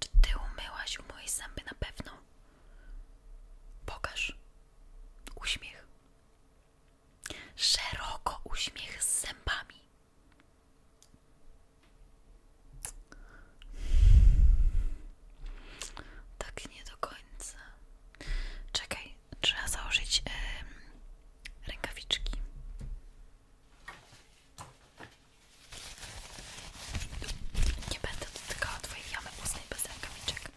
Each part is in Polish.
Czy ty umyłaś u mojej zęby na pewno? Pokaż. Uśmiech. Szeroko uśmiech z zębami. Tak nie do końca. Czekaj, trzeba założyć rękawiczki. Nie będę dotykała twojej jamy ustnej bez rękawiczek.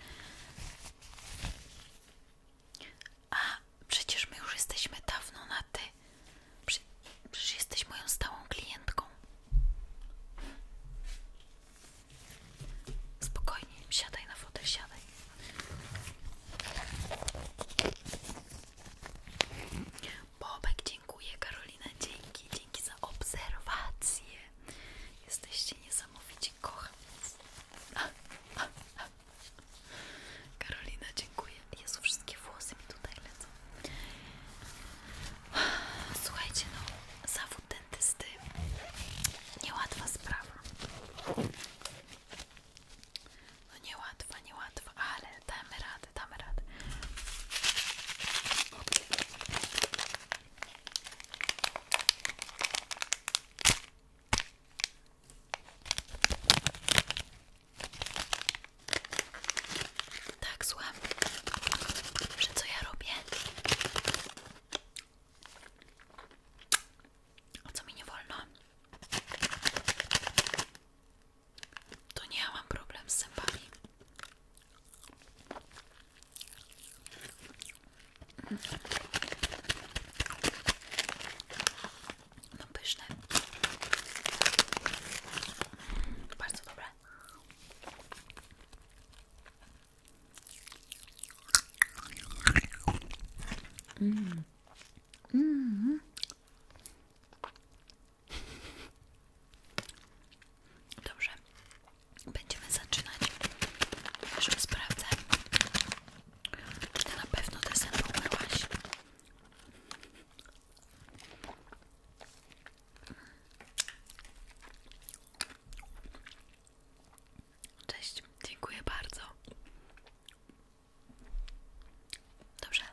A przecież my już jesteśmy dawno na ty. Prze przecież jesteś moją stałą klientką. Spokojnie, siadaj na fotelu, siadaj. Bobek, dziękuję. Karolina, dzięki. Dzięki za obserwację. Jesteście niesamowici, kocham was. Karolina, dziękuję. Jezu, wszystkie włosy mi tutaj lecą. Słuchajcie, no, zawód dentysty niełatwa sprawa. No niełatwa, niełatwa, ale damy radę, damy radę. Tak, słucham, że co ja robię? co mi nie wolno? to nie ja mam problem z zębami. No pyszne. Bardzo dobre. Mm. Mm. Dobrze, będziemy zaczynać. Jeszcze sprawdzę, czy ty na pewno te zęby Cześć, dziękuję bardzo. Dobrze,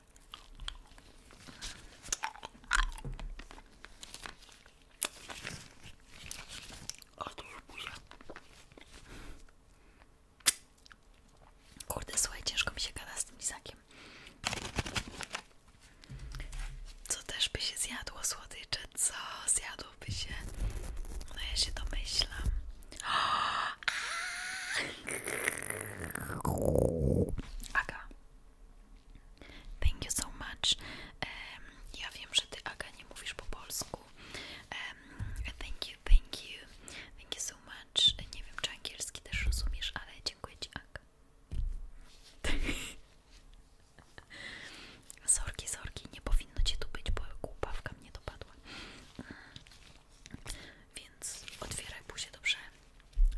Otóż buzia. Kurde, słuchaj, ciężko mi się gada z tym lizakiem. Co też by się zjadło słodycze? Co zjadłoby się? No ja się domyślam. Aga, Thank you so much. ja wiem, że ty, Aga, nie mówisz po polsku. thank you, thank you. Thank you so much. Nie wiem, czy angielski też rozumiesz, ale dziękuję ci, Aga. Sorki, sorki, nie powinno cię tu być, bo głupawka mnie dopadła. Mm. Więc otwieraj buzię, dobrze?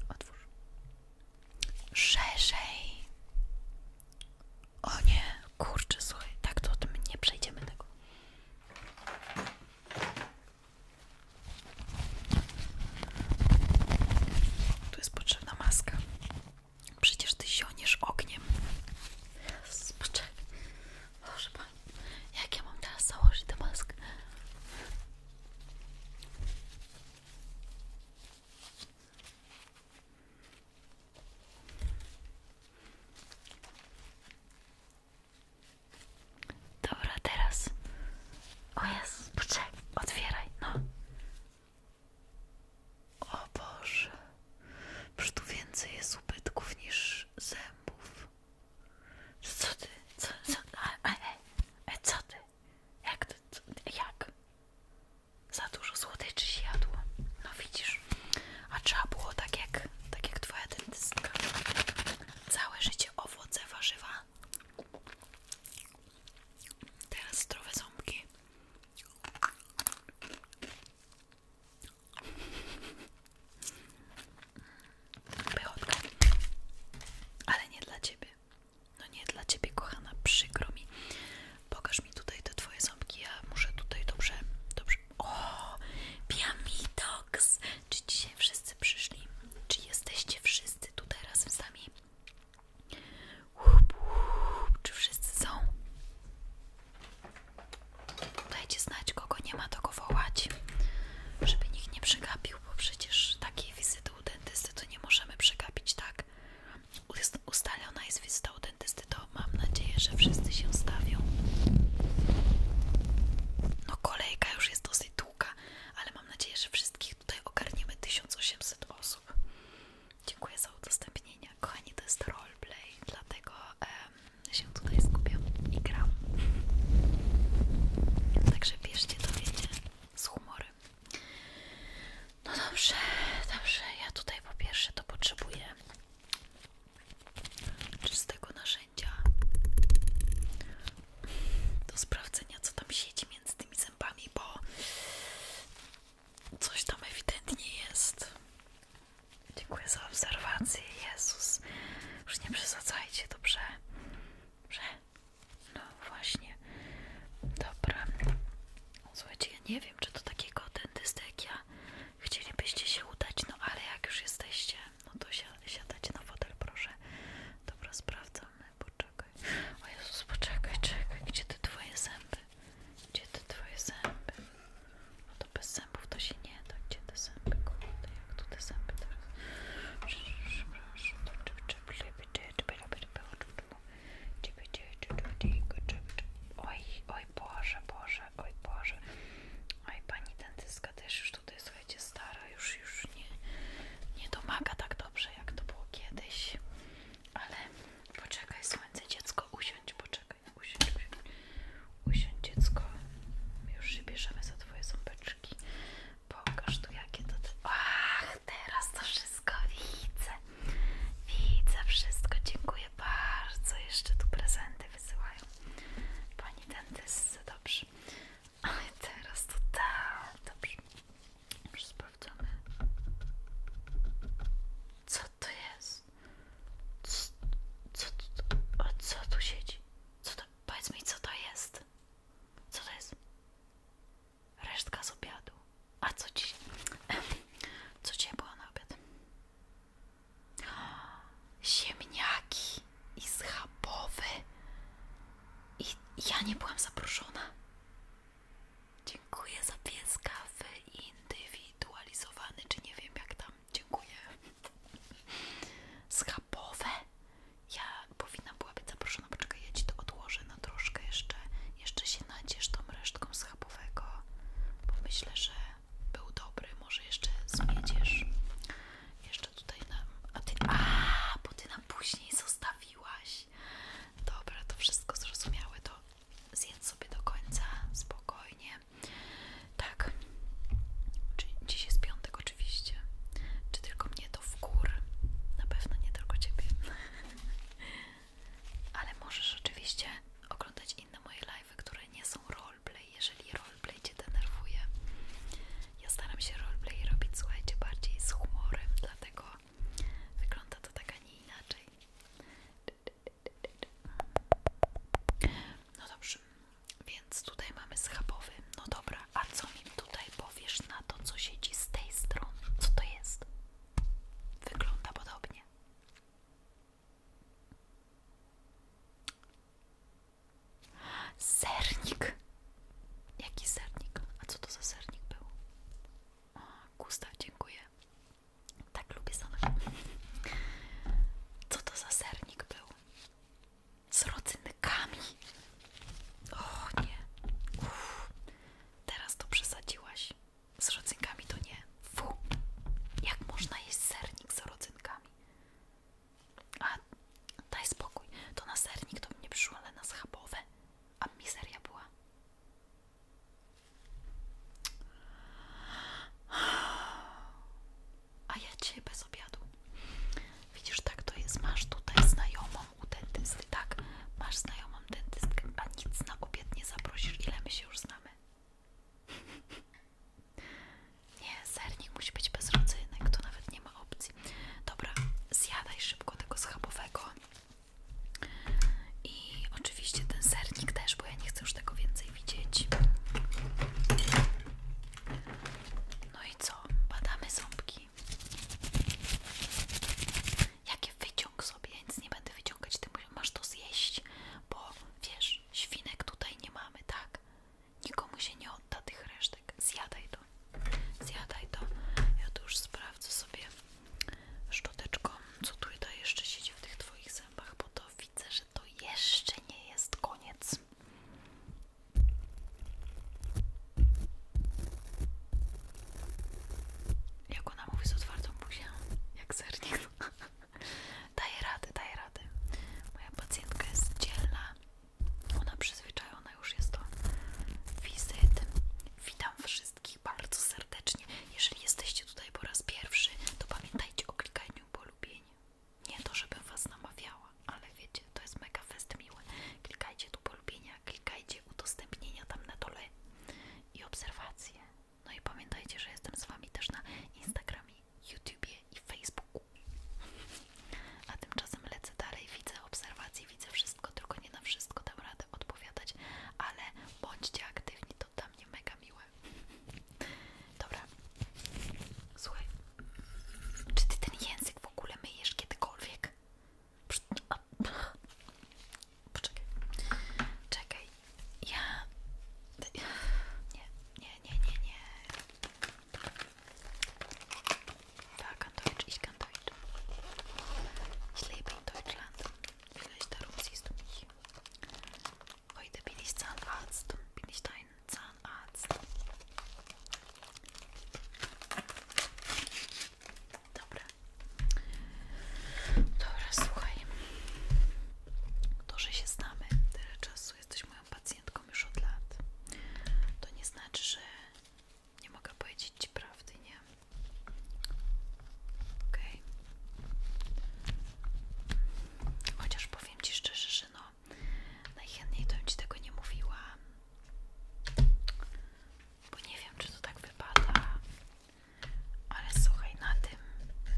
Otwórz. Szerzej. O nie, kurczę, słuchaj, tak to tym nie przejdziemy tego. Tu jest potrzebna maska. Przecież ty zioniesz ogniem. Poczekaj. Boże Pani, jak ja mam teraz założyć tę maskę? Dobra, teraz. O jest, poczekaj, otwieraj, no. O Boże, przecież tu więcej jest ubytków niż zębów. Co ty? Co, co? E, e, co ty? Jak to? jak? Za dużo słodyczy się jadło. No widzisz. A trzeba było tak jak, tak jak twoja dentystka. Całe życie owoce, warzywa. Teraz zdrowe ząbki. Pychotka. Ale nie dla ciebie. No nie, dla ciebie kochana, przykro mi. Pokaż mi tutaj te twoje ząbki, ja muszę tutaj dobrze, dobrze... O, Piamidox! Czy dzisiaj wszyscy przyszli? Czy jesteście wszyscy tutaj razem z nami? czy wszyscy są? Dajcie znać, kogo nie ma, to go wołać, żeby nikt nie przegapił zrobił, bo przecież takiej wizyty u dentysty to nie możemy przegapić, tak? Ustalona jest wizyta u dentysty, to mam nadzieję, że wszyscy się stawią. No kolejka już jest dosyć długa, ale mam nadzieję, że wszystkich tutaj ogarniemy 1800 osób. Dziękuję za udostępnienie. Kochani, to jest roleplay, dlatego się tutaj skupiam i gram. Także bierzcie to, wiecie z humorem. No dobrze, dobrze. Ja tutaj po pierwsze to potrzebuję czystego narzędzia do sprawdzenia, co tam siedzi między tymi zębami, bo coś tam ewidentnie jest. Dziękuję za obserwację. Jezus, już nie przesadzajcie, dobrze? Dobrze. No właśnie, dobra. Zobaczcie, ja nie wiem, czy do takiego dentysty jak ja chcielibyście się udać, no ale jak już jesteście, no to si siadajcie na wodę, proszę. Dobra, sprawdzamy, poczekaj. O Jezus, poczekaj, czekaj, gdzie te twoje zęby? Gdzie te twoje zęby? No to bez zębów to się nie da. Gdzie te zęby, kurde, jak tu te zęby teraz? Przepraszam, to czep, czep, Oj, oj Boże, Boże, oj Boże. Oj pani dentyska też już tutaj, słuchajcie, stara, już już nie, nie domaga tak dobrze, jak to było kiedyś. Ale poczekaj, słońce, dziecko, usiądź, poczekaj, usiądź, usiądź. Usiądź dziecko, już się bierzemy za twoje ząbeczki. Pokaż tu jakie to... Te... Ach, teraz to wszystko widzę. Widzę wszystko, dziękuję bardzo. Jeszcze tu prezenty wysyłają. Pani dentystce, dobrze. A teraz to tak, dobrze. Już sprawdzamy. Co to jest? Co, co, o, co tu siedzi? Co to, powiedz co to jest? Co to jest? Resztka z obiadu. A co dzisiaj? Co dzisiaj było na obiad? Ziemniaki i schabowe I ja nie byłam zaproszona. Dziękuję za pieskawy indywidualizowany, czy nie wiem jak tam. Dziękuję. Schabowe ja powinna była być zaproszona, poczekaj, ja ci to odłożę na troszkę jeszcze, jeszcze się nadziesz tą resztką schabowego, bo myślę, że był dobry, może jeszcze zmieciesz. Jeszcze tutaj nam, a ty, a, bo ty nam później zostawiłaś. Dobra, to wszystko zrozumiałe, to zjedz sobie do końca, spokojnie. Tak, dziś jest piątek oczywiście. Czy tylko mnie to w gór? Na pewno nie tylko ciebie. Ale możesz oczywiście oglądać inne moje live, które nie są roleplay, jeżeli roleplay Cię denerwuje. Ja staram się roleplay robić, słuchajcie, bardziej z humorem, dlatego wygląda to tak, a nie inaczej. No dobrze, więc tutaj mamy schabowy. No dobra, a co mi tutaj powiesz na to, co siedzi z tej strony? Co to jest? Wygląda podobnie. Sernik. Jaki sernik? A co to za sernik był? Gustaw, dziękuję. Tak lubię sam. Co to za sernik był? Z rodzynkami. O nie. Uff. Teraz to przesadziłaś. Z rodzynkami to nie. Fu! Jak można jeść sernik z rodzynkami? A daj spokój, to na sernik to mnie przyszło, ale na schabowe. A mizeria była. A ja cię bez obiadu. Widzisz, tak to jest. Masz tutaj znajomą, u dentysty, tak? Masz znajomą dentystkę, a nic na obiad nie zaprosisz, ile my się już znamy. Nie, sernik musi być bez rodzynek, to nawet nie ma opcji. Dobra, zjadaj szybko tego schabowego. I oczywiście ten sernik też, bo ja nie chcę już tego więcej widzieć. No i co? Badamy ząbki. Jakie wyciąg sobie, ja nic nie będę wyciągać, ty masz to zjeść, bo wiesz, świnek tutaj nie mamy, tak? Nikomu się nie odda tych resztek. Zjadaj to, zjadaj to. Ja tu już sprawdzę sobie szczoteczką, co tutaj jeszcze siedzi w tych twoich zębach, bo to widzę, że to jeszcze nie jest koniec. Jak ona mówi z otwartą buzią, jak sernik. daje rady, daje rady. Moja pacjentka jest dzielna. Ona przyzwyczajona już jest do wizyt. Witam wszystkich bardzo serdecznie. Jeżeli jesteście tutaj po raz pierwszy, to pamiętajcie o klikaniu polubienia. Nie to, żebym was namawiała, ale wiecie, to jest mega fest miły. Klikajcie tu polubienia odnotowania, klikajcie udostępnienia tam na dole i obserwacje. No i pamiętajcie, że jestem z Wami też na Instagramie, YouTubie i Facebooku. A tymczasem lecę dalej, widzę obserwacje, widzę wszystko, tylko nie na wszystko dam radę odpowiadać, ale bądźcie aktywni, to dla mnie mega miłe. Dobra, słuchaj, czy ty ten język w ogóle myjesz kiedykolwiek? Poczekaj. Czekaj. Ja. Nie, nie, nie, nie, nie. Tak, Deutsch, ich kann Deutsch. Ich lebe in Deutschland. Vielleicht darum siehst du mich. Heute bin ich Zahnarzt. Bin ich dein Zahnarzt? Dobra. Dobra, słuchaj. To, że się znamy tyle czasu, jesteś moją pacjentką już od lat, to nie znaczy, że nie mogę powiedzieć Ci prawdy, nie? OK. Chociaż powiem Ci szczerze, że no najchętniej to bym Ci tego nie mówiła bo nie wiem, czy to tak wypada, ale słuchaj, na tym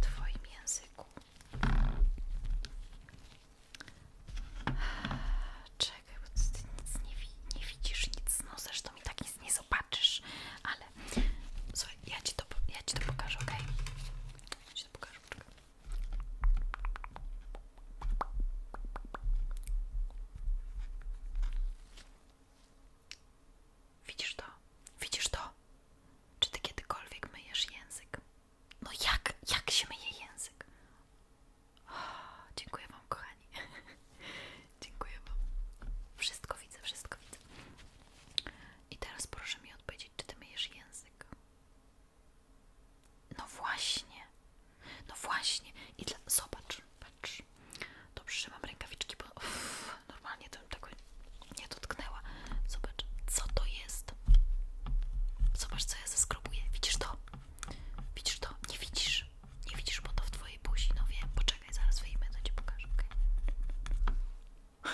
twoim języku czekaj, bo ty nic nie, widzisz, nic, no zresztą mi tak nic nie zobaczysz, ale słuchaj, ja ci to, ja ci to pokażę, ok? Ja ci to pokażę, Widzisz to? Widzisz to? Czy ty kiedykolwiek myjesz język? No jak? Jak się myje język? O, dziękuję wam, kochani. dziękuję wam. Wszystko widzę, wszystko widzę. I teraz proszę mi odpowiedzieć, czy ty myjesz język? No właśnie. No właśnie, i dla... zobacz, patrz. Dobrze, że mam rękawiczki, bo normalnie to bym tego nie dotknęła. Zobacz, co to jest. Zobacz, co ja zeskrobuję. Widzisz to? Widzisz to? Nie widzisz. Nie widzisz, bo to w twojej buzi. No wiem, poczekaj, zaraz wyjmę, to ci pokażę, okej?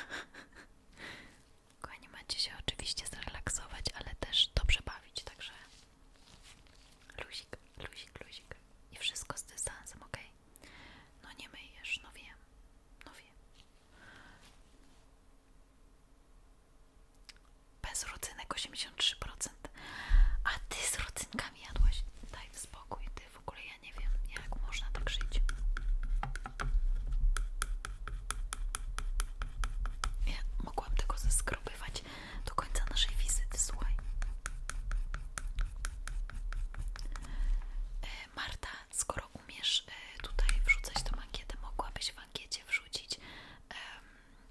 Kochani, macie się oczywiście zrelaksować, ale też dobrze bawić, także Luzik, luzik, luzik. I wszystko z dystansem, ok? No nie myjesz, no wiem, no wiem. Bez rodzynek 83%. A ty z rodzynkami jadłaś? Daj spokój, ty w ogóle ja nie wiem, jak można tak żyć. Ja mogłam tego zeskrobywać do końca naszej wizyty, słuchaj. E, Marta, skoro umiesz e, tutaj wrzucać tą ankietę, mogłabyś w ankiecie wrzucić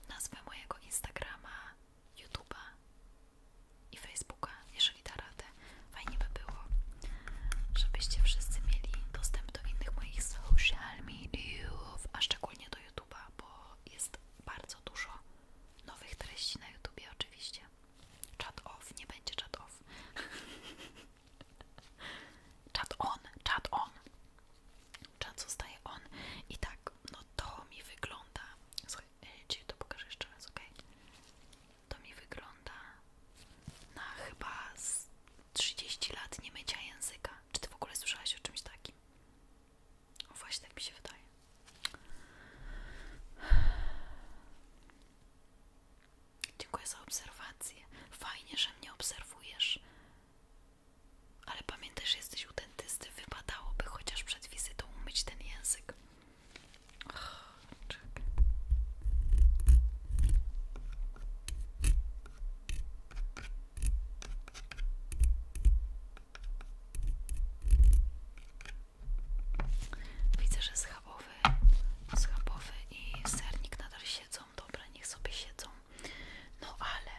nazwę mojego Instagrama, YouTube'a i Facebooka, jeżeli da radę. Fajnie by było, żebyście wszyscy mieli dostęp do innych moich social mediów, a szczególnie do YouTube'a, bo jest bardzo dużo nowych treści na YouTubie oczywiście. Chat off, nie będzie chat off. chat on, chat on. Chat zostaje on. I tak, no to mi wygląda. Słuchaj, e, ci to pokażę jeszcze raz, ok? To mi wygląda na chyba z 30 lat nie mycia języka. Czy ty w ogóle słyszałaś o czymś takim? No właśnie tak mi się wydaje. Dziękuję za obserwację. Fajnie, że mnie obserwujesz. Ale pamiętaj, że jesteś u dentysty. Wypadałoby chociaż przed wizytą umyć ten język. Oh, Widzę, że schabowy, schabowy i sernik nadal siedzą. Dobra, niech sobie siedzą. No ale...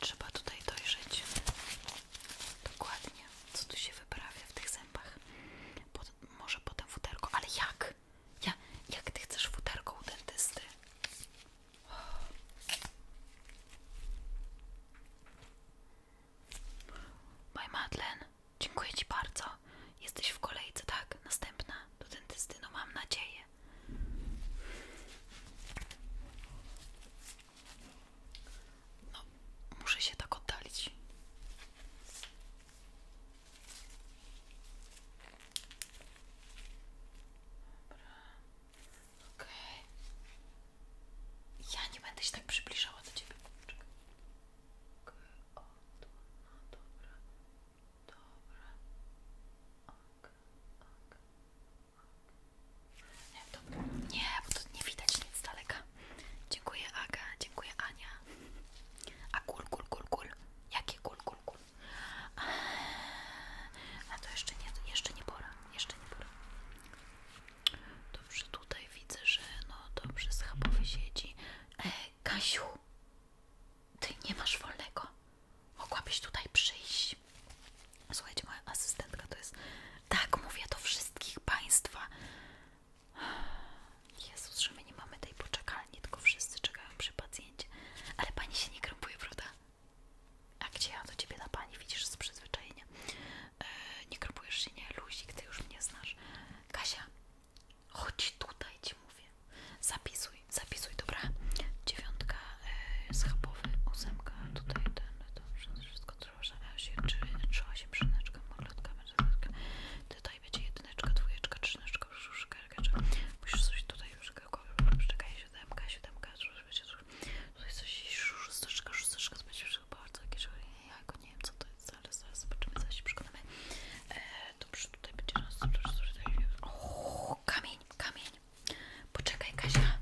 Trzeba tutaj dojrzeć dokładnie co tu się wyprawia w tych zębach. Pod, może potem futerko, ale jak? Ja, jak ty chcesz futerko u dentysty? Maj Madlen, dziękuję Ci bardzo. Jesteś w kolejce, tak? Następna do dentysty, no mam nadzieję. No, muszę się tak oddalić. Dobra. Okej. Ja nie będę się tak przybliżała do ciebie. Nie, bo to nie widać nic daleka. Dziękuję Aga, dziękuję Ania. A kul, kul, kul, kul. Jakie kul, kul, kul? A to jeszcze nie, jeszcze nie pora, jeszcze nie pora. Dobrze, tutaj widzę, że no dobrze, schabowy siedzi. E, Kasiu, ty nie masz wolnego. Mogłabyś tutaj przyjść. Słuchajcie, moja asystentka to jest... Tak, mówię do wszystkich Państwa. Jezus, że my nie mamy tej poczekalni, tylko wszyscy czekają przy pacjencie. Ale pani się nie krępuje, prawda? A gdzie ja do ciebie na pani? Widzisz z przyzwyczajenia. E, nie krępujesz się, nie? Luzik, ty już mnie znasz. Kasia, chodź tutaj, ci mówię. Zapisuj, zapisuj, dobra? Dziewiątka, e, schabowy, ósemka, tutaj ten, to wszystko Roztrwożenia się, czy się przyneczka, maglotka, mężczyzna. Tutaj będzie jedyneczka, dwójeczka, trzyneczka, brzuszka, ergeczka. Musisz coś tutaj już czekaj, siódemka, siódemka, wiecie, tutaj coś szósteczka, szósteczka, to będzie wszystko bardzo jakieś, ja go nie wiem co to jest, ale zaraz zobaczymy, zaraz się przekonamy. E, dobrze, tutaj będzie nas, o, kamień, kamień. Poczekaj Kasia,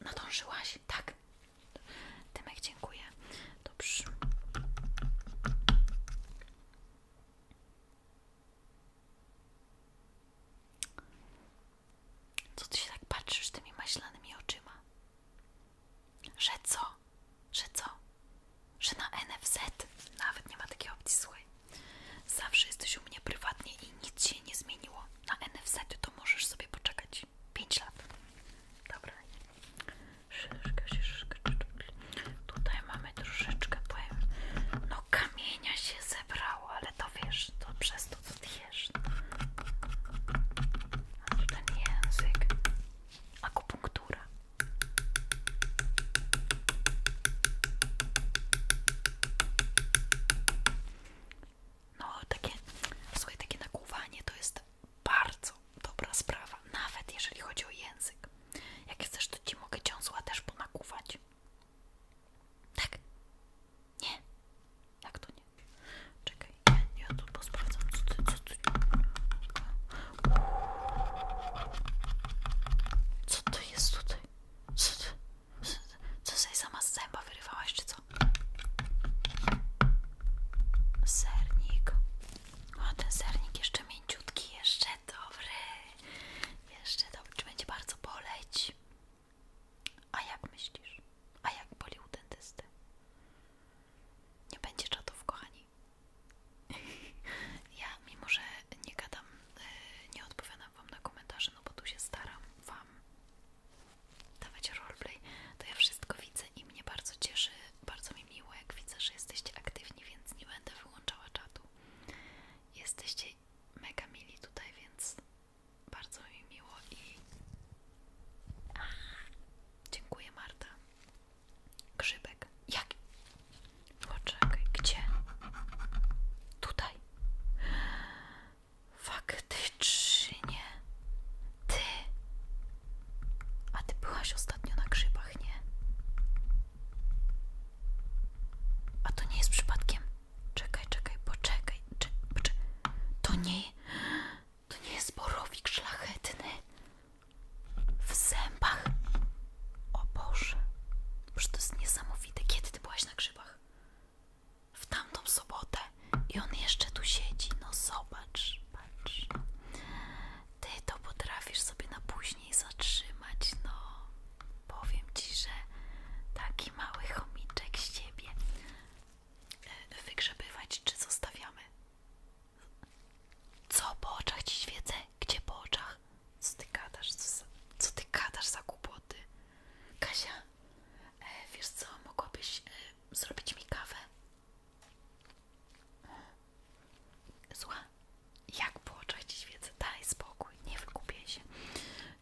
nadążyłaś, tak? Tymek, dziękuję. Dobrze. Co ty się tak patrzysz tymi maślanymi oczyma? Że co? Że co? Że na NFZ? Nawet nie ma takiej opcji, słuchaj. Zawsze jesteś u mnie prywatnie i nic się nie zmieniło. Na NFZ to możesz sobie poczekać. 5, lat. Dobra. Szyszka, szyszka. Tutaj mamy troszeczkę, powiem, no kamienia się zebrało, ale to wiesz, to przez to co ty jesz. Ten język. Akupunktura. No, takie, swoje takie nakłuwanie to jest bardzo dobra sprawa, nawet jeżeli chodzi o język. Jak chcesz, to ci mogę ciąsła też ponakuwać. Tak? Nie? Jak to nie? Czekaj, ja tu posprawdzam, co ty, co ty... Co to jest tutaj? Co ty? Co sobie sama z zęba wyrywałaś, czy co? Sernik. O, ten sernik jeszcze mięciutki, jeszcze dobry. Jeszcze dobry, czy będzie bardzo boleć? A jak myślisz? A jak boli u dentysty? Nie będzie czatów, kochani. Ja, mimo że nie gadam, y, nie odpowiadam Wam na komentarze, no bo tu się staram Wam dawać roleplay, to ja wszystko widzę i mnie bardzo cieszy, bardzo mi miło, jak widzę, że jesteście aktywni, więc nie będę wyłączała czatu. Jesteście mega mili tutaj, więc bardzo mi miło i dziękuję Marta. Grzybek. Jak? Poczekaj, gdzie? Tutaj. Faktycznie. Ty. A ty byłaś ostatnio na grzybach, nie? A to nie jest przypadkiem. Czekaj, czekaj, poczekaj. Czek, poczek to nie. To nie jest borowik szlachetny. W zębach. O Boże. Boże, to jest niesamowite. Kiedy ty byłaś na grzybach? W tamtą sobotę. I on jeszcze tu siedzi. No zobacz zobacz. Ty to potrafisz sobie na później zatrzymać, no. Powiem ci, że taki mały chomiczek z ciebie e, wygrzebywać, czy zostawiamy? Co po oczach ci Gdzie po oczach? Co ty kadasz? Co, za, co ty gadasz za głupoty? Kasia, e, wiesz co, mogłabyś e, zrobić mi kawę? Zła, jak było czyścić wiedzę? Daj spokój, nie wykupię się.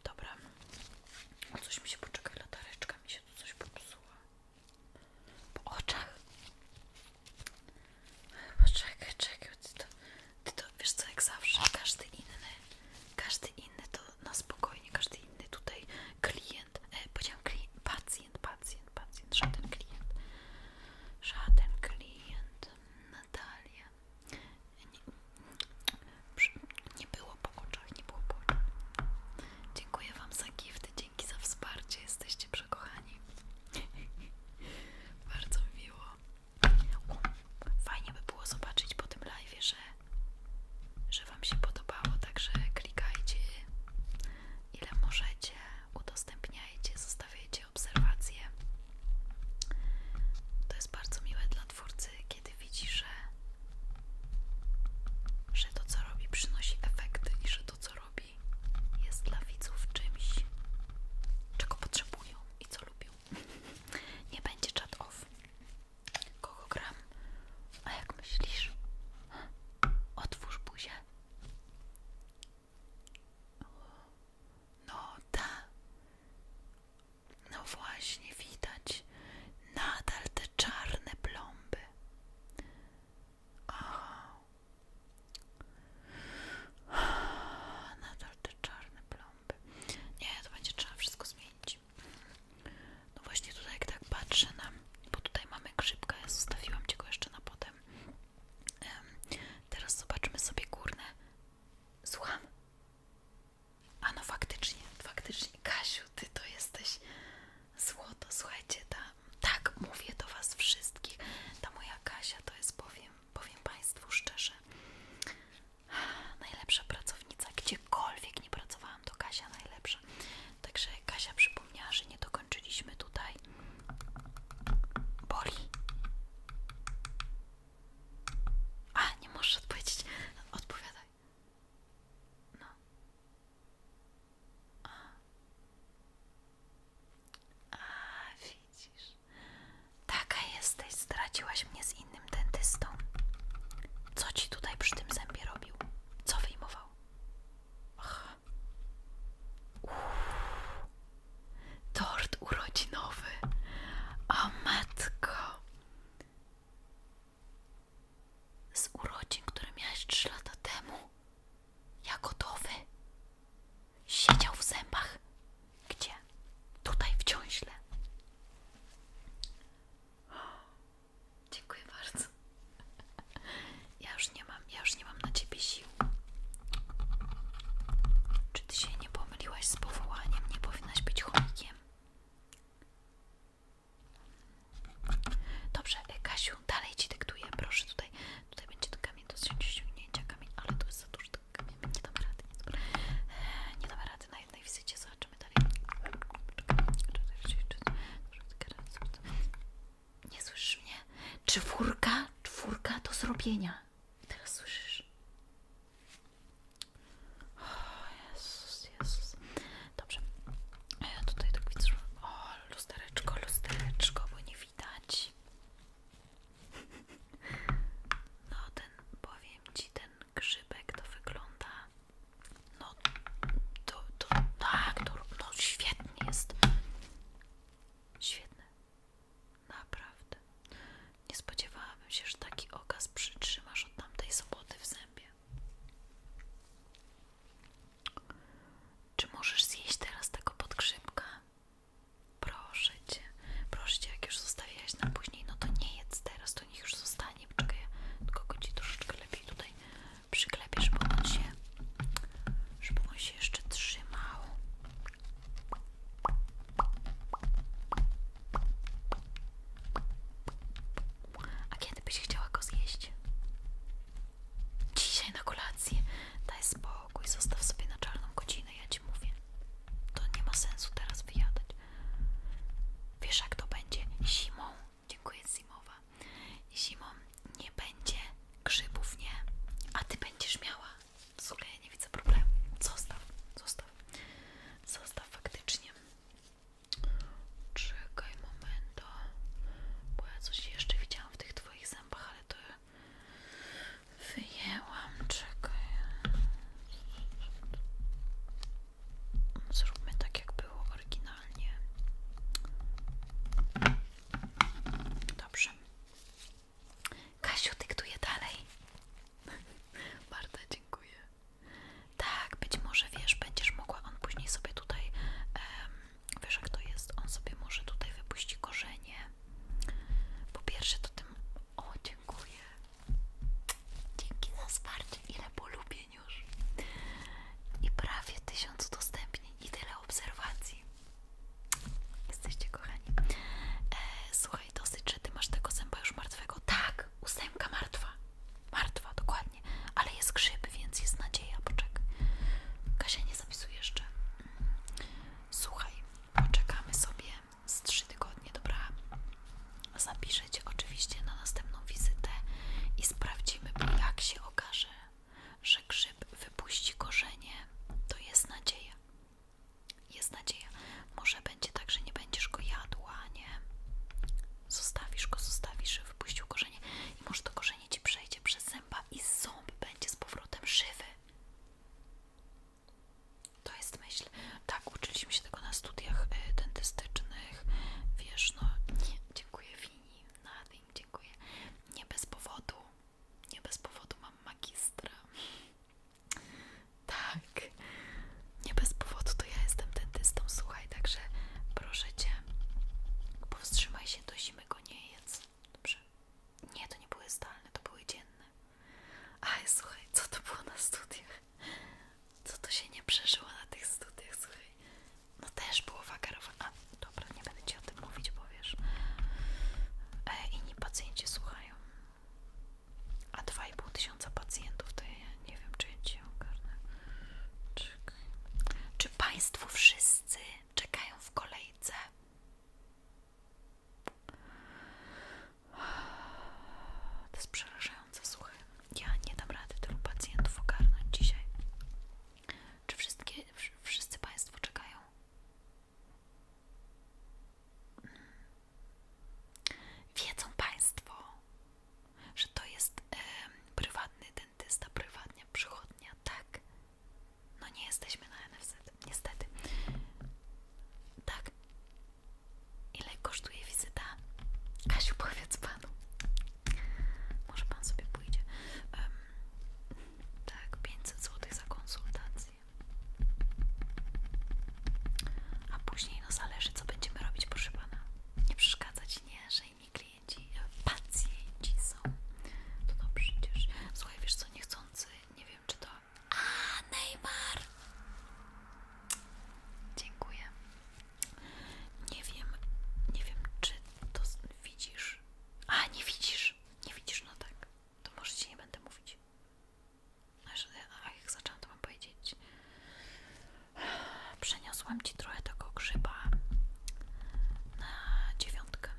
Dobra, o coś mi się poczekaj, latareczka mi się tu coś popsuła. Po oczach. Poczekaj, czekaj, ty to, ty to wiesz co, jak zawsze, każdy inny, każdy inny to na spokojnie, każdy inny tutaj klient, e, powiedziałam pacjent, pacjent, pacjent, żaden klient. Żaden klient, Natalia. Nie, było po oczach, nie było po oczach. Dziękuję Wam za gifty, dzięki za wsparcie, jesteście przekochani. Bardzo miło. Fajnie by było zobaczyć po tym live, że, że Wam się podobało, także klikajcie ile możecie, udostępniajcie, zostawiajcie obserwacje. To jest bardzo miłe dla twórcy, kiedy widzi, że, że to co robi przynosi efekty i że to co robi jest dla widzów czymś, czego potrzebują i co lubią. Nie będzie chat off. Kogo gram? A jak myślisz? Otwórz buzię. No ta. No właśnie widać nadal te czarne plomby. Aha. Nadal te czarne plomby. Nie, to będzie trzeba wszystko zmienić. No właśnie tutaj jak tak patrzę na bo tutaj mamy krzypkę. ja zostawiłam Ci go jeszcze na potem. teraz zobaczmy sobie górne. Słucham. A no faktycznie, faktycznie. Kasiu, Ty to jesteś złoto. Słuchajcie, ta, tak mówię do Was wszystkich. Ta moja Kasia to jest, powiem, powiem Państwu szczerze, najlepsza pracownica. Gdziekolwiek nie pracowałam, to Kasia najlepsza. Także Kasia przypomniała, że nie do skończyliśmy tutaj. Boli. A, nie możesz odpowiedzieć. Odpowiadaj. No. A, widzisz. Taka jesteś. Straciłaś mnie z innym dentystą. Co ci tutaj przy tym zębie robił? Co wyjmował? Tort urodzinowy. O matko. Z urodzin, które miałeś trzy lata temu. Ja gotowy. Siedział w zębach. Gdzie? Tutaj w ciąźle. Dziękuję bardzo. Ja już nie mam, ja już nie mam na ciebie sił. Czy ty się nie pomyliłaś z powołaniem? Nie powinnaś być chomikiem. Dobrze, e, Kasiu, dalej ci dyktuję. Proszę tutaj, tutaj będzie to kamień do ściągnięcia kamień, ale to jest za dużo tego kamienia. Nie dam rady, nie dam, e, nie dam rady na jednej wizycie. Zobaczymy dalej. Nie słyszysz mnie? Czwórka, czwórka do zrobienia. Teraz słyszysz. O Jezus, Jezus. Dobrze. Ja tutaj tak widzę. O, lustereczko, lustereczko, bo nie widać. No ten, powiem ci, ten grzybek to wygląda. No, to, to, to tak, to, no świetnie, jest. Świetny. Naprawdę. Nie spodziewałabym się, że taki okaz przytrzymasz od tamtej soboty w zębie. Czy możesz zjeść teraz tego podgrzybka? Proszę cię, proszę cię, jak już zostawiłaś na później, no to nie jedz teraz, to niech już zostanie. Poczekaj, ja tylko go troszeczkę lepiej tutaj przyklepię, żeby on się, żeby on się jeszcze trzymał. A kiedy byś chciała go zjeść? Dzisiaj na kolację. Daj spokój, zostaw sobie na czarną godzinę, ja ci mówię. To nie ma sensu teraz wyjadać. Wiesz jak to będzie zimą, dziękuję zimowa. Zimą nie będzie grzybów, nie? A ty będziesz miała. W ogóle ja nie widzę problemu. Zostaw, zostaw. Zostaw faktycznie. Czekaj momento. Bo ja coś jeszcze widziałam w tych twoich zębach, ale to wyjęłam. Czekaj. Zróbmy tak jak było oryginalnie. Dobrze. Kasiu dyktuje dalej. Bardzo dziękuję. Tak, być może wiesz, będziesz mogła, on później sobie tutaj, um, wiesz jak to jest, on sobie może tutaj wypuści korzenie. Po pierwsze to tym, o dziękuję. Dzięki za wsparcie, ile polubień już. I prawie tysiąc dostępnie. i obserwacji. Jesteście kochani. E, słuchaj, dosyć, że ty masz tego zęba już martwego. Tak, ósemka martwa. Martwa, dokładnie. Ale jest grzyb, więc jest nadzieja. Poczekaj. Kasia nie zapisuje jeszcze. Słuchaj, poczekamy sobie z 3 tygodnie, dobra? Zapiszę oczywiście na następną wizytę i sprawdzimy, jak się okaże że grzyb wypuści korzenie, to jest nadzieja. Jest nadzieja. Może będzie tak, że nie będziesz go jadła, nie? Zostawisz go, zostawisz, że wypuścił korzenie może to korzenie ci przejdzie przez zęba i ząb będzie z powrotem żywy. To jest myśl. Tak, uczyliśmy się tego na studiach y, dentystycznych. Wiesz, no, dziękuję Wini na dziękuję. Nie bez powodu, nie bez powodu mam magistra. Tak, nie bez powodu to ja jestem dentystą, słuchaj, także proszę cię, powstrzymaj się do zimy, go nie Dobrze? Nie, to nie były zdalne, to były dzienne. Aj, słuchaj, co to było na studiach? Co to się nie przeżyło na tych studiach, słuchaj? No też było wagarowa. A dobra, nie będę ci o tym mówić, bo wiesz. E, inni pacjenci słuchają. A 2,5 tysiąca pacjentów to ja nie wiem, czy ja cię ogarnę. Czekaj. Czy Państwo wszyscy czekają w kolejce? To jest przerażające, słuchaj. Ja nie dam rady tylu pacjentów ogarnąć dzisiaj. Czy wszystkie, wszyscy Państwo czekają? Hmm. Wiedzą Państwo, że to jest prywatny dentysta, prywatna przychodnia, tak? No nie jesteśmy na NFZ, niestety. Tak. Ile kosztuje wizyta? Kasiu, powiedz Panu. Może pan sobie pójdzie. tak, 500 zł za konsultację. A później, no zależy, co będziemy robić, proszę pana. Nie przeszkadzać, nie, że inni klienci, e, pacjenci są. To no przecież. Słuchaj, wiesz co, niechcący, nie wiem czy to. A, Neymar! Dziękuję. Nie wiem, nie wiem, czy to widzisz, a, nie widzisz. Nie widzisz, no tak. To może ci nie będę mówić. No, a jak zaczęłam to mam powiedzieć. Przeniosłam ci trochę tego grzyba na dziewiątkę.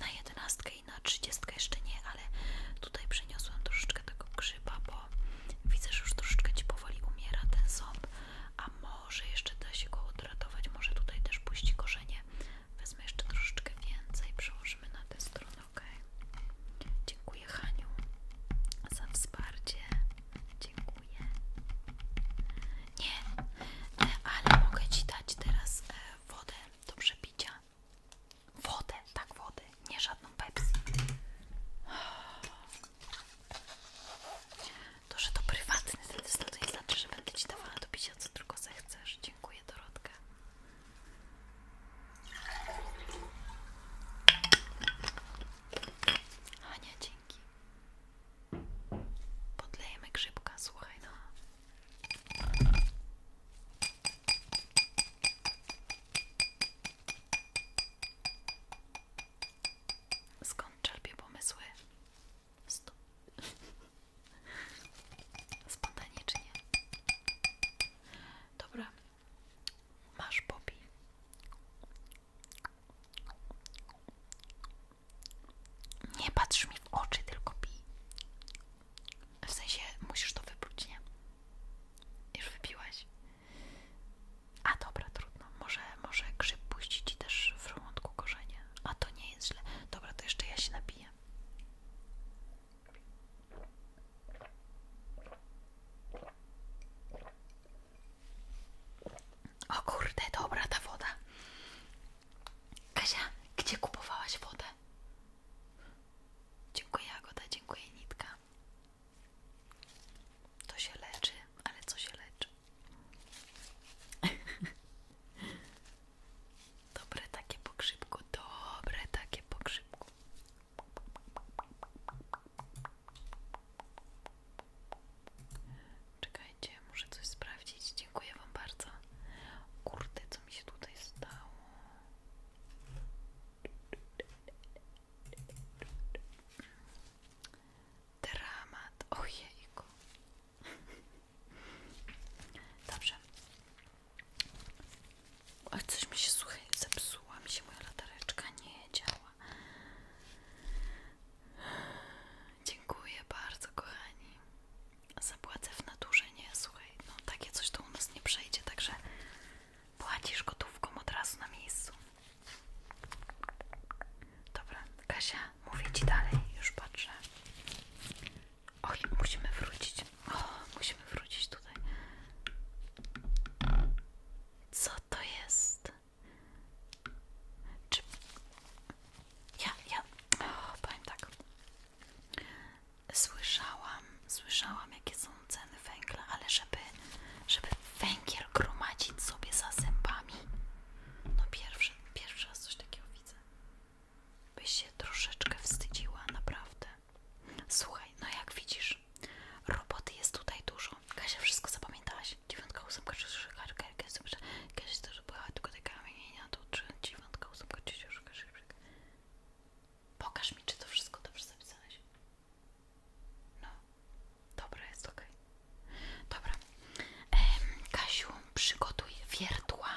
Na jedenastkę i na trzydziestkę jeszcze nie, ale tutaj przeniosłam troszeczkę tego grzyba, bo widzę, że już troszeczkę ci powoli umiera ten ząb, a może może jeszcze da się go odratować, może tutaj też puści korzenie. Wezmę jeszcze troszeczkę więcej, przełożymy na tę stronę, ok? Dziękuję Haniu za wsparcie. Dziękuję. Nie, e, ale mogę Ci dać teraz e, wodę do przepicia. Wodę, tak wodę, nie żadną Pepsi. To, że to prywatny telefon, to nie znaczy, że będę ci dawała do picia, co tylko zechcesz. Dziękuję, Dorotka. Ania, dzięki. Podlejemy grzybka, słuchaj, no. Skąd czerpie pomysły? Stop. Spontanicznie. Dobra. Masz Bobby Nie patrz mi w oczy, tylko pij. W sensie musisz to wypluć, nie? Już wypiłaś. A dobra, trudno. Może może grzyb puści ci też w żołądku korzenie. A to nie jest źle. Dobra, to jeszcze ja się nabiję. O kurde, dobra ta woda. Kasia, gdzie kupowałaś wodę? Dziękuję Agoda, dziękuję Nitka. To się leczy, ale co się leczy? Dobre takie pokrzypku, dobre takie pokrzypku. Czekajcie, muszę coś sprawdzić. Dziękuję Wam bardzo. Kurde, co mi się tutaj stało? Dramat. Ojejku. Dobrze. Ach, coś mi się słuchaj, zepsuła mi się moja latareczka, nie działa. Dziękuję bardzo, kochani. Zapłacę w naturze, nie? Słuchaj, no takie coś to u nas nie przejdzie, także płacisz gotówką od razu na miejscu. Dobra, Kasia, mówię Ci dalej, już patrzę. Och, musimy wrócić. musimy wrócić tutaj. Co to jest? Czy... Ja, ja, o, powiem tak. Słyszałam, słyszałam jakie są ceny węgla, ale żeby, żeby węgiel gromadzić sobie za zębami, no pierwsze pierwszy, raz coś takiego widzę. Byś się troszeczkę wstydziła, naprawdę. Słuchaj, no jak widzisz, roboty jest tutaj dużo. Kasia, wszystko zapamiętałaś? Dziewiątka, ósemka, trzydziesiąt, karka, Kasia też była tylko taka imienia, to trzy, dziewiątka, ósemka, trzydziesiąt, Pokaż mi, czy to wszystko dobrze zapisałeś. No, dobra, jest okej. Dobra. Kasiu, przygotuj wiertła.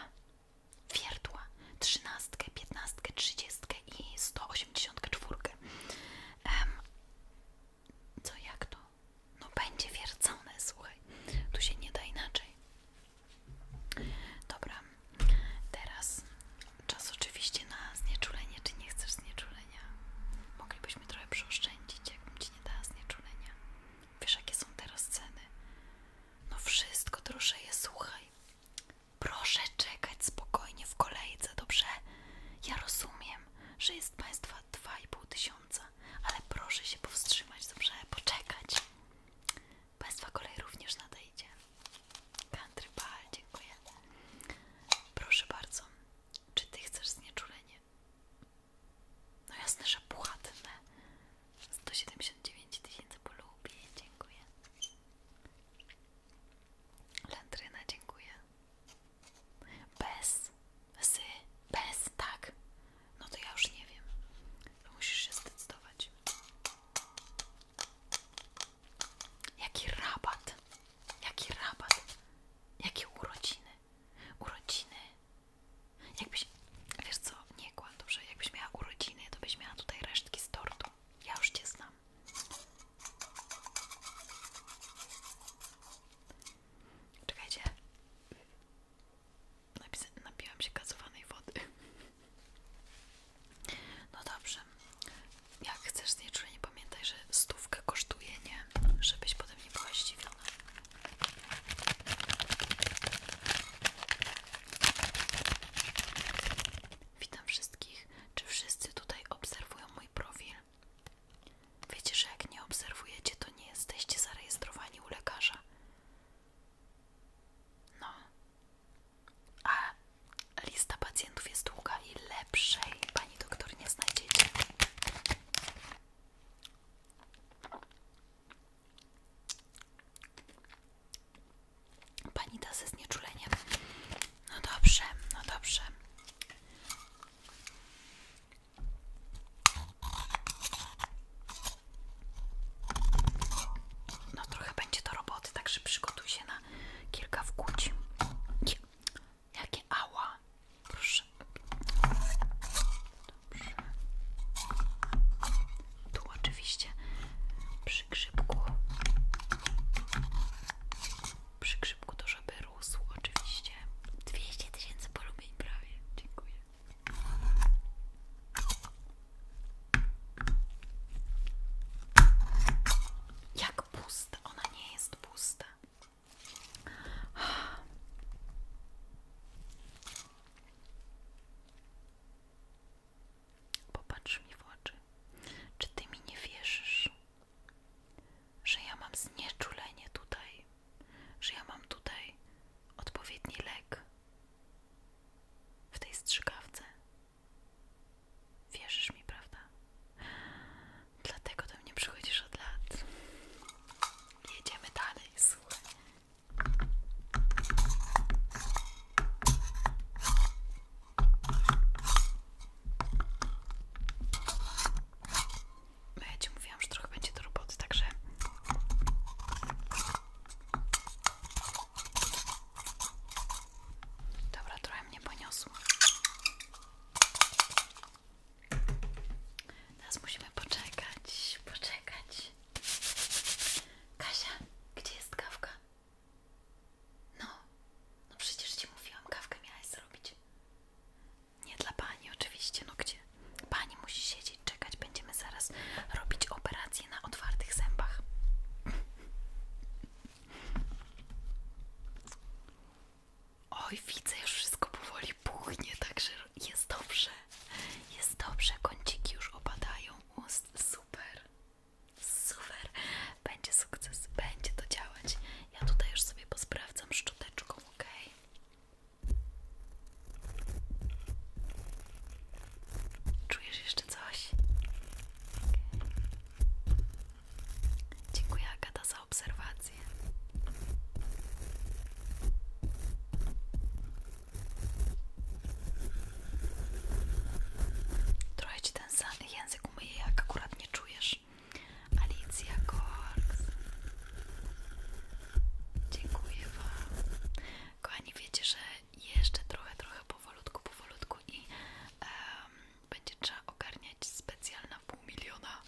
Wiertła. Trzynastkę, piętnastkę, trzydziestkę i sto osiemdziesiątkę czwórkę. Co jak to? No będzie wiercone, słuchaj. Tu się nie da inaczej. Dobra. Teraz czas oczywiście na znieczulenie. Czy nie chcesz znieczulenia? Moglibyśmy trochę przeoszczędzić, jakbym ci nie dała znieczulenia. Wiesz, jakie są teraz ceny? No wszystko drożeje, słuchaj. Proszę czekać spokojnie w kolejce, dobrze? Ja rozumiem, że jest Państwa 2,5 tysiąca, ale proszę się powstrzymać, dobrze? Poczekać. Państwa kolej również nadejdzie. Country Ball, dziękuję. Proszę bardzo, czy Ty chcesz znieczulenie? No jasne, że płatne. 179 tysięcy polubień, dziękuję. Lętryna, dziękuję. Bez, z, bez, tak. No to ja już nie wiem. musisz się zdecydować. Jaki rabat? Jaki rabat? Jakie urodziny? urodziny. Jakbyś, wiesz co, nie kłam, że jakbyś miała urodziny, to byś miała tutaj resztki z tortu. Ja już Cię znam. Czekajcie. Napisa się gazowanej wody. No dobrze. Jak chcesz znieczulenie, pamiętaj, że stówkę kosztuje, nie? Żebyś potem nie była zdziwiona. Witam wszystkich. Czy wszyscy tutaj obserwują mój profil? Wiecie, że jak nie obserwujecie, to nie jesteście zarejestrowani u lekarza. No. A lista pacjentów jest długa i lepszej pani doktor nie znajdziecie. Pani da ze znieczuleniem. No dobrze, no dobrze. No trochę będzie to roboty, także przygotuj się na kilka wkłuć. Jakie ała, Proszę. Dobrze. Tu oczywiście przy grzybku. Przy grzybku to żeby rósł oczywiście. 200 tysięcy polubień prawie. Dziękuję. Jak pusta. Ona nie jest pusta. Popatrz mi w oczy. Czy ty mi nie wierzysz, że ja mam znieczulenie tutaj, że ja mam tutaj odpowiedni lek w tej strzykawce? Wierzysz mi, prawda? Dlatego do mnie przychodzisz od lat jedziemy dalej, no, ja ci mówiłam, że trochę będzie do roboty, także... Dobra, trochę mnie poniosło. Teraz musimy poczekać, poczekać. Kasia, gdzie jest kawka? No, no przecież ci mówiłam, kawkę miałaś zrobić. Nie dla pani oczywiście, no gdzie? Pani musi siedzieć, czekać, będziemy zaraz robić operację na otwartych zębach. Oj, widzę, już wszystko powoli puchnie, także jest dobrze, jest dobrze, kąciki już opadają ust, super, super, będzie sukces, będzie to działać. Ja tutaj już sobie posprawdzam szczoteczką, ok? Czujesz jeszcze coś? Dziękuję Agata za obserwację. Trochę cię ten język umyje, jak akurat nie czujesz. Alicja Korks. Dziękuję Wam. Kochani, wiecie, że jeszcze trochę, trochę powolutku, powolutku i będzie trzeba ogarniać specjalna pół miliona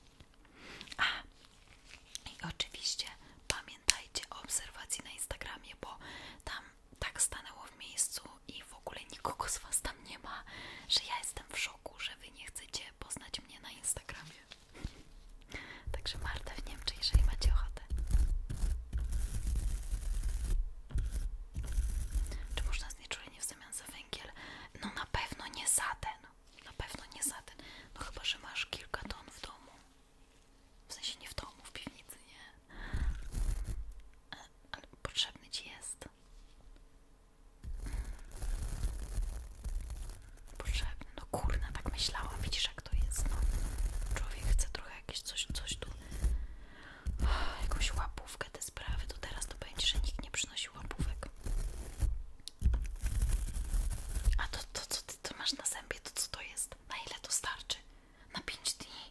a i oczywiście pamiętajcie o obserwacji na Instagramie, bo tam tak stanęło w miejscu i w ogóle nikogo z Was tam nie ma, że ja jestem w szoku, że Wy nie chcecie poznać mnie na Instagramie. Także Marta w Niemczech, jeżeli macie ochotę. Czy można znieczulenie w zamian za węgiel? No na pewno nie za ten. No, na pewno nie za No chyba, że masz kilka ton w domu. W sensie nie w domu, w piwnicy, nie? Ale, potrzebny ci jest. Potrzebny. No kurna, tak myślałam. Widzisz, jak to jest, no. Człowiek chce trochę jakieś coś, coś tu... Jakąś łapówkę, te sprawy. To teraz to będzie, że nikt nie przynosi łapówek. A to, co ty masz na zębie, to co to jest? Na ile to starczy? Na pięć dni?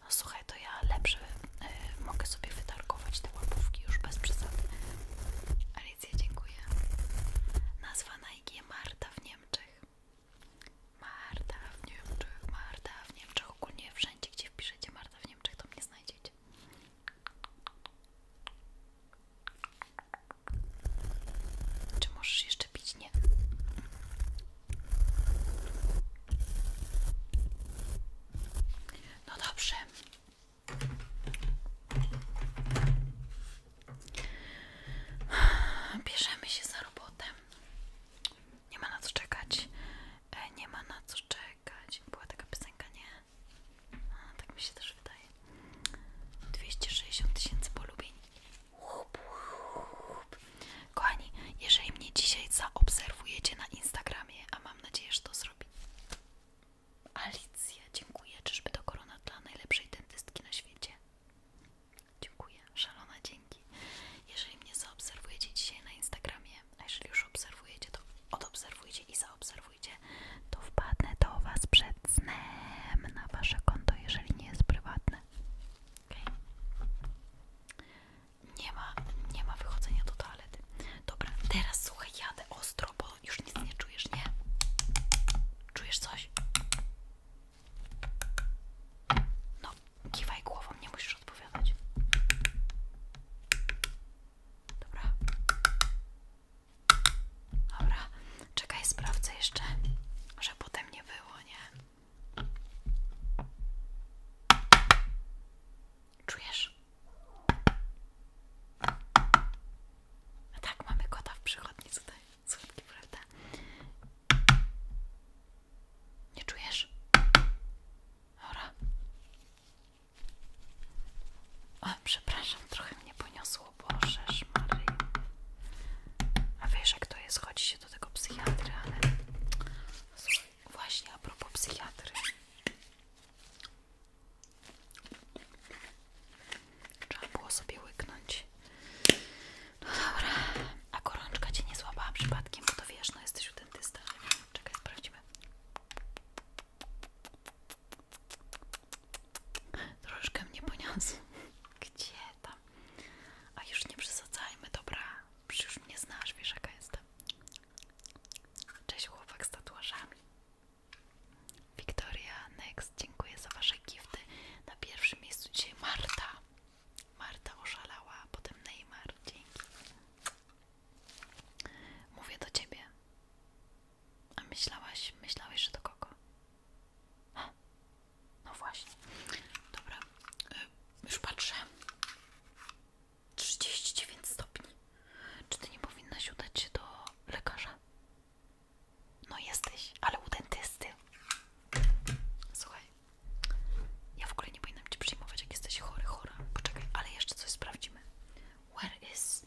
No słuchaj, to ja lepiej y, mogę sobie wytargować te łapówki już bez przesady. Alicja, dziękuję. Nazwa Nike Marta w Niemczech. Marta w Niemczech, Marta w Niemczech. Ogólnie wszędzie, gdzie wpiszecie Marta w Niemczech, to mnie znajdziecie. Czy możesz jeszcze pić? Nie. No dobrze. Bierzemy się za robotę. Nie ma na co czekać. E, nie ma na co czekać. Była taka piosenka, nie? tak mi się też wydaje. 260 tysięcy polubień. Łup, Kochani, jeżeli mnie dzisiaj zaobserwujecie na Instagramie, a mam nadzieję, że to zrobi. Alicja, dziękuję. Czyżby to korona dla najlepszej dentystki na świecie? Dziękuję. Szalona dzięki. Jeżeli mnie zaobserwujecie dzisiaj na Instagramie, a jeżeli już obserwujecie, to odobserwujcie i zaobserwujcie pójdzie, to wpadnę do Was przed snem na Wasze konto, jeżeli nie jest prywatne. Nie ma, nie ma wychodzenia do toalety. Dobra, teraz słuchaj, jadę ostro, bo już nic nie czujesz, nie? Czujesz coś? No, kiwaj głową, nie musisz odpowiadać. Dobra. Dobra, czekaj, sprawdzę jeszcze, że potem nie było, nie? Czujesz? A tak, mamy kota w przychodni tutaj. Słodki, prawda? Nie czujesz? Dobra. O, przepraszam, trochę mnie poniosło. O Bożeż A wiesz jak to jest, chodzi się do tego psychiatry, ale właśnie a propos psychiatry. Trzeba było sobie łyknąć. No dobra, a gorączka cię nie złapała przypadkiem, bo to wiesz, no jesteś u dentysty. Czekaj, sprawdźmy. Troszkę mnie poniosło. Gdzie tam? A już nie przesadzajmy, dobra. Przecież już mnie znasz, wiesz jaka jestem. Cześć chłopak z tatuażami. Victoria Next, dziękuję za wasze gifty. Na pierwszym miejscu dzisiaj Marta. Marta oszalała, potem Neymar. Dzięki. Mówię do ciebie. A myślałaś, myślałeś, że do kogo? Ha, no właśnie. Dobra, y, już patrzę. 39 stopni. Czy ty nie powinnaś udać się do lekarza? No jesteś, ale u dentysty. Słuchaj, ja w ogóle nie powinnam cię przyjmować, jak jesteś chory, chora. Poczekaj, ale jeszcze coś sprawdzimy. Where is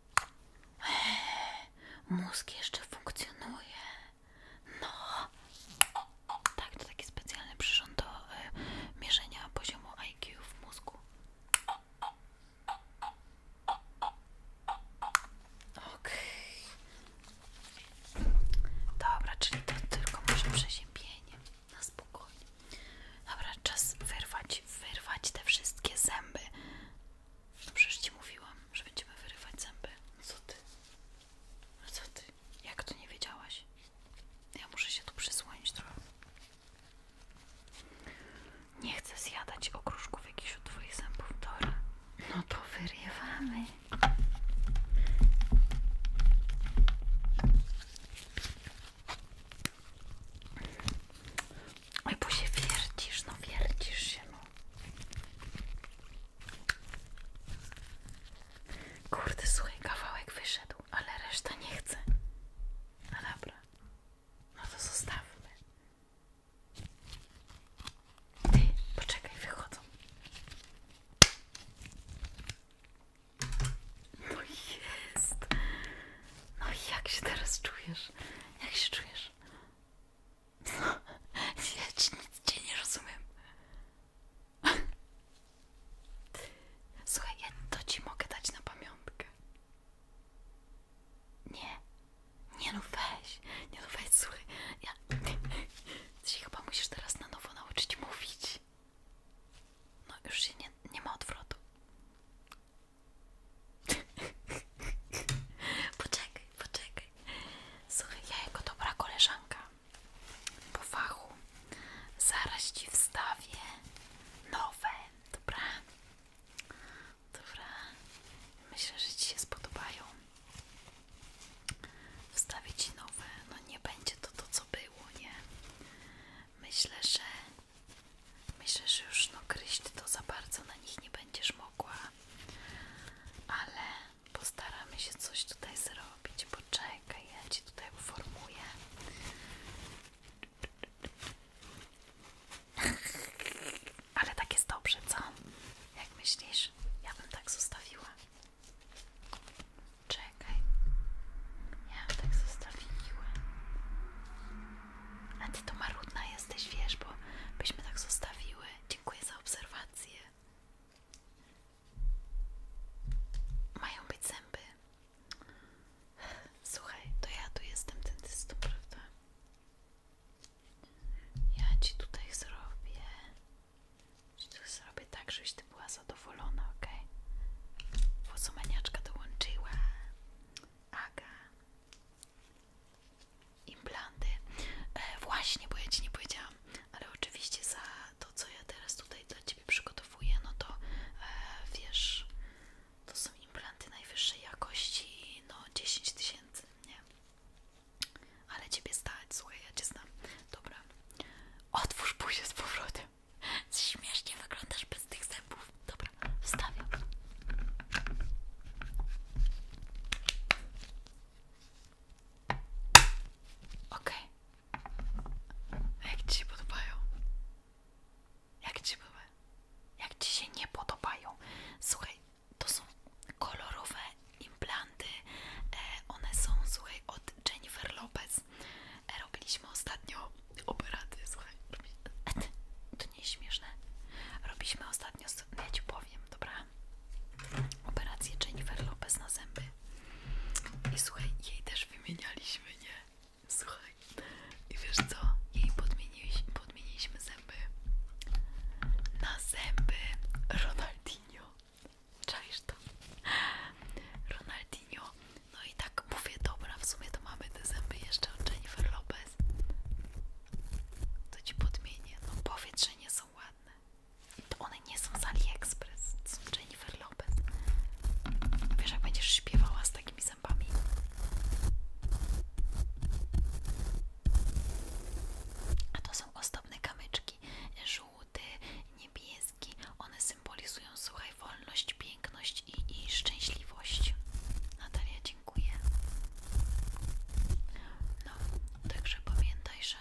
Mózg jeszcze funkcjonuje. No. Tak, to taki specjalny przyrząd do y, mierzenia poziomu IQ w mózgu. Okej. Dobra, czyli to tylko może przeziębienie. Na spokojnie. Dobra, czas wyrwać, wyrwać te wszystkie zęby. No przecież ci mówiłam, że będziemy wyrywać zęby. No co ty? No co ty? Jak to nie wiedziałaś? Ja muszę się tu przysłonić trochę. Nie chcę zjadać okruszków jakieś od twoich zębów, Dora. No to wyrywamy. Oj, bo się wiercisz, no wierdzisz się, no. Kurde, słuchaj, kawałek wyszedł, ale reszta nie chce. No dobra, no to zostawmy. Ty, poczekaj, wychodzą. No jest. No i jak się teraz czujesz? Jak się czujesz? No, nic, nic cię nie rozumiem. Słuchaj, ja to ci mogę dać na pamiątkę. Nie. Nie no weź. Nie no weź, słuchaj. Ja... Ty się chyba musisz teraz na nowo nauczyć mówić. No już się nie, nie ma odwrotu. Poczekaj, poczekaj. Słuchaj, ja jako dobra koleżanka po fachu zaraz ci wstawię nowe, dobra? Dobra, myślę, że ci się spodobają. Wstawię ci nowe, no nie będzie to to, co było, nie? Myślę, że myślę, że już no gryźć to za bardzo na nich nie będziesz mogła ale postaramy się coś tutaj zrobić. Poczekaj, ja Ci tutaj uformuję. Ale tak jest dobrze, co? Jak myślisz? Ja bym tak zostawiła. Czekaj. Ja bym tak zostawiła. A ty to marudna jesteś, wiesz, bo byśmy tak zostawiły, Dziękuję za obserwacje. Mają być zęby. Słuchaj, to ja tu jestem dentystą, prawda? Ja ci tutaj zrobię. Zrobię tak, żebyś ty była zadowolona, ok? Włosomaniaczka dołączyła. Aga implanty. E, właśnie, bo ja Ci nie powiedziałam, ale oczywiście za to, co ja teraz tutaj dla Ciebie przygotowuję, no to e, wiesz, to są implanty najwyższej jakości, no 10 tysięcy, nie? Ale Ciebie stać, słuchaj, ja Cię znam. Dobra, otwórz buzię z powrotem. Śmiesznie wyglądasz bez tych zębów. Dobra, wstawiam. OK. Jak ci się podobają? Jak ci były? Jak ci się nie podobają? Słuchaj, to są kolorowe implanty. E, one są, słuchaj, od Jennifer Lopez. E, robiliśmy ostatnio operację, słuchaj. To nie jest śmieszne. Robiliśmy ostatnio, ja ci powiem, powiem, dobra? Operację Jennifer Lopez na zęby. I słuchaj, jej też wymienialiśmy, nie? Słuchaj. I wiesz co? Jej podmieniliśmy, zęby. Na zęby Ronaldinho. Czaisz to? Ronaldinho. No i tak mówię, dobra, w sumie to mamy te zęby jeszcze od Jennifer Lopez. To ci podmienię. No powiedz, nie są ładne. to one nie są z AliExpress. To są Jennifer Lopez. Wiesz, jak będziesz śpiewała z takimi zębami? A to są osobne kamyczki. Żółty, niebieski. One symbolizują, słuchaj, wolność, piękność i, i szczęśliwość. Natalia, dziękuję dziękuję. No, także pamiętaj, że,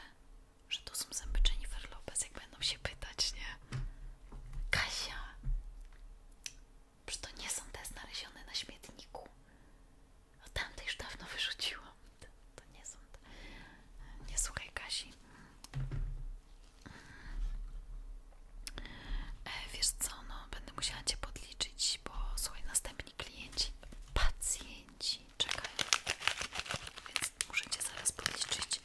że to są zęby Jennifer Lopez, jak będą się pytać, nie? Kasia! Przecież to nie są te znalezione na śmietniku. a tamte już dawno wyrzuciłam. To, nie są Nie słuchaj Kasi. E, wiesz co, no, będę musiała Cię podliczyć bo słuchaj, następni klienci, pacjenci czekają, więc musicie Cię zaraz podliczyć.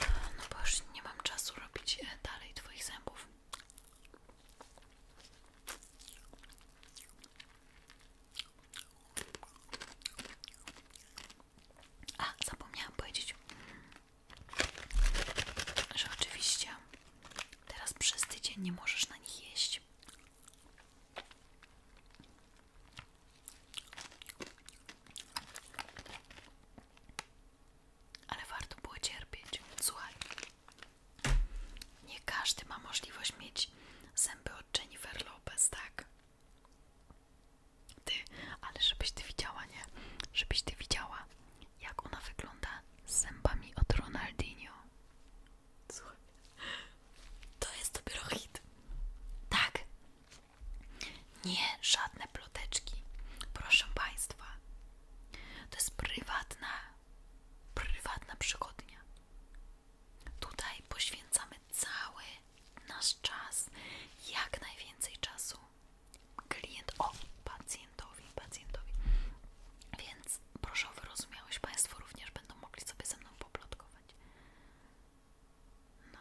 No bo już nie mam czasu robić e, dalej Twoich zębów. A, zapomniałam powiedzieć, że oczywiście Teraz przez tydzień nie możesz na nich jeść. Ale warto było cierpieć. Słuchaj, nie każdy ma możliwość mieć zęby od Jennifer Lopez, tak? Ty, ale żebyś ty widziała, nie? Żebyś ty widziała, jak ona wygląda z zębami od Ronaldinho. Słuchaj, to jest dopiero hit. Tak. Nie, żadne ploteczki. Proszę Państwa, to jest prywatna, prywatna przygodnia. Tutaj poświęcamy cały nasz czas, jak najwięcej czasu klientowi, pacjentowi, pacjentowi. Więc proszę o wyrozumiałość, Państwo również będą mogli sobie ze mną poplotkować. No.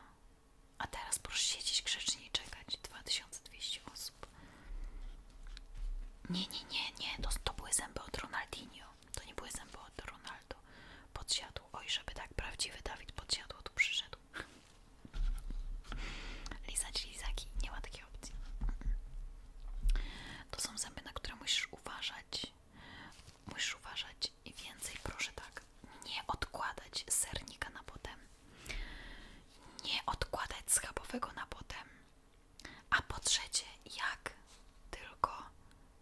A teraz proszę siedzieć grzecznie i czekać. 2200 osób. Nie, nie, nie, nie. To, to były zęby od Ronaldinho. To nie były zęby od Ronaldo. Podsiadł. Oj, żeby tak prawdziwy Dawid podsiadło tu przyszedł. Lizać lizaki. Nie ma takiego to są zęby, na które musisz uważać. Musisz uważać i więcej proszę tak, nie odkładać sernika na potem. Nie odkładać schabowego na potem. A po trzecie, jak tylko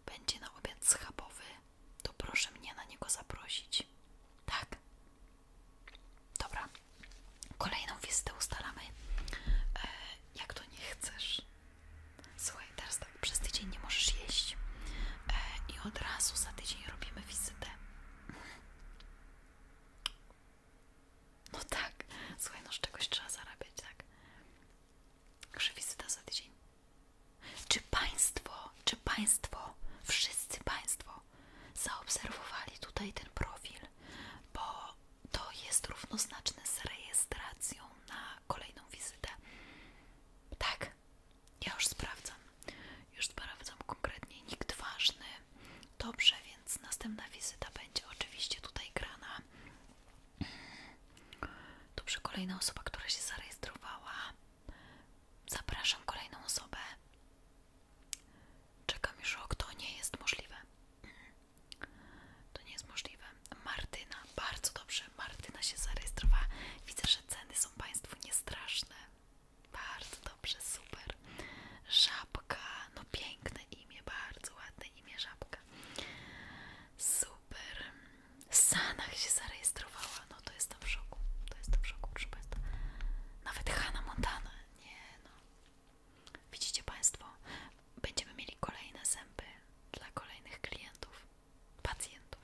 będzie na obiad schabowy, to proszę mnie na niego zaprosić. Tak? Dobra. Kolejną wizytę ustalamy, e, jak to nie chcesz. Słuchaj, teraz tak, przez tydzień nie możesz jeść e, i od razu za tydzień robimy wizytę. No tak, słuchaj, no z czegoś trzeba zarabiać, tak? Że wizyta za tydzień. Czy Państwo, czy Państwo, wszyscy Państwo zaobserwowali tutaj ten profil, bo to jest równoznaczne z rejestracją na kolejną wizytę. Tak, ja już sprawdzam. Już sprawdzam konkretnie nikt ważny. Dobrze, więc następna wizyta będzie oczywiście tutaj grana. Dobrze, kolejna osoba, która się zarejestrowała. Zapraszam kolejną osobę. Czekam już, o kto nie jest możliwe. Mhm. To nie jest możliwe. Martyna, bardzo dobrze. Martyna się zarejestrowała. Widzę, że ceny są Państwu niestraszne. Bardzo dobrze, super. Żabka, no piękne imię, bardzo ładne imię Żabka. Super. Sanach się zarejestrowała. No to jestem w szoku. To jestem w szoku, proszę Państwa. Nawet Hannah Montana. Nie no. Widzicie Państwo, będziemy mieli kolejne zęby dla kolejnych klientów, pacjentów.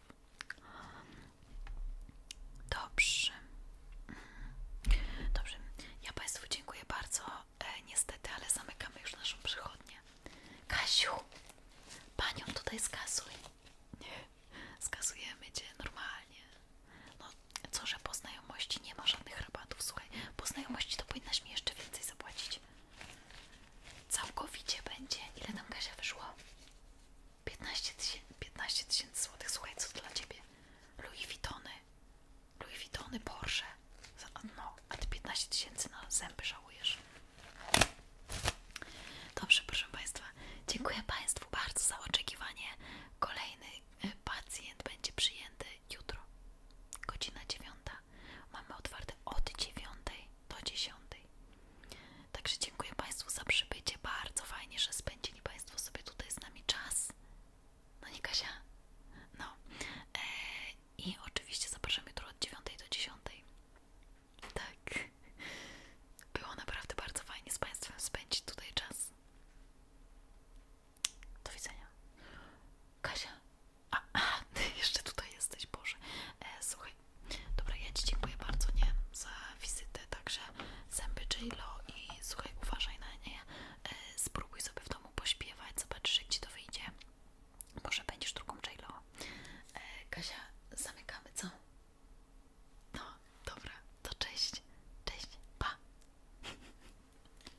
Dobrze. Dobrze. Ja Państwu dziękuję bardzo. E, niestety, ale zamykamy już naszą przychodnię. Kasiu, panią tutaj skasuj. Skasujemy Cię normalnie. No, co, że po znajomości nie ma żadnych rabatów, po znajomości to powinnaś mi jeszcze więcej zapłacić. Całkowicie będzie, ile nam gazia wyszło? 15 tysięcy złotych, słuchaj, co dla ciebie? Louis Vuittony, Louis Vuittony, Porsche, no, a te 15 tysięcy na zęby żałujesz. Dobrze, proszę Państwa, dziękuję Państwu bardzo za oczekiwanie. Kolejny y, pacjent będzie przyjęty jutro. Godzina dziewiąta. Mamy otwarte od dziewiątej do dziesiątej. Także dziękuję Państwu za przybycie. Bardzo fajnie, że spędzili Państwo sobie tutaj z nami czas. No nie Kasia? No. E, I oczywiście zapraszamy jutro od dziewiątej do dziesiątej. Tak. Było naprawdę bardzo fajnie z Państwem spędzić tutaj czas. Do widzenia. Kasia, a, a, jeszcze tutaj jesteś, Boże. E, słuchaj, dobra, ja Ci dziękuję bardzo, nie? Za wizytę, także zęby J-Lo i słuchaj, uważaj na nie. E, spróbuj sobie w domu pośpiewać, zobaczysz jak Ci to wyjdzie. Może będziesz drugą J-Lo. E, Kasia, zamykamy, co? No, dobra, to cześć. Cześć, pa!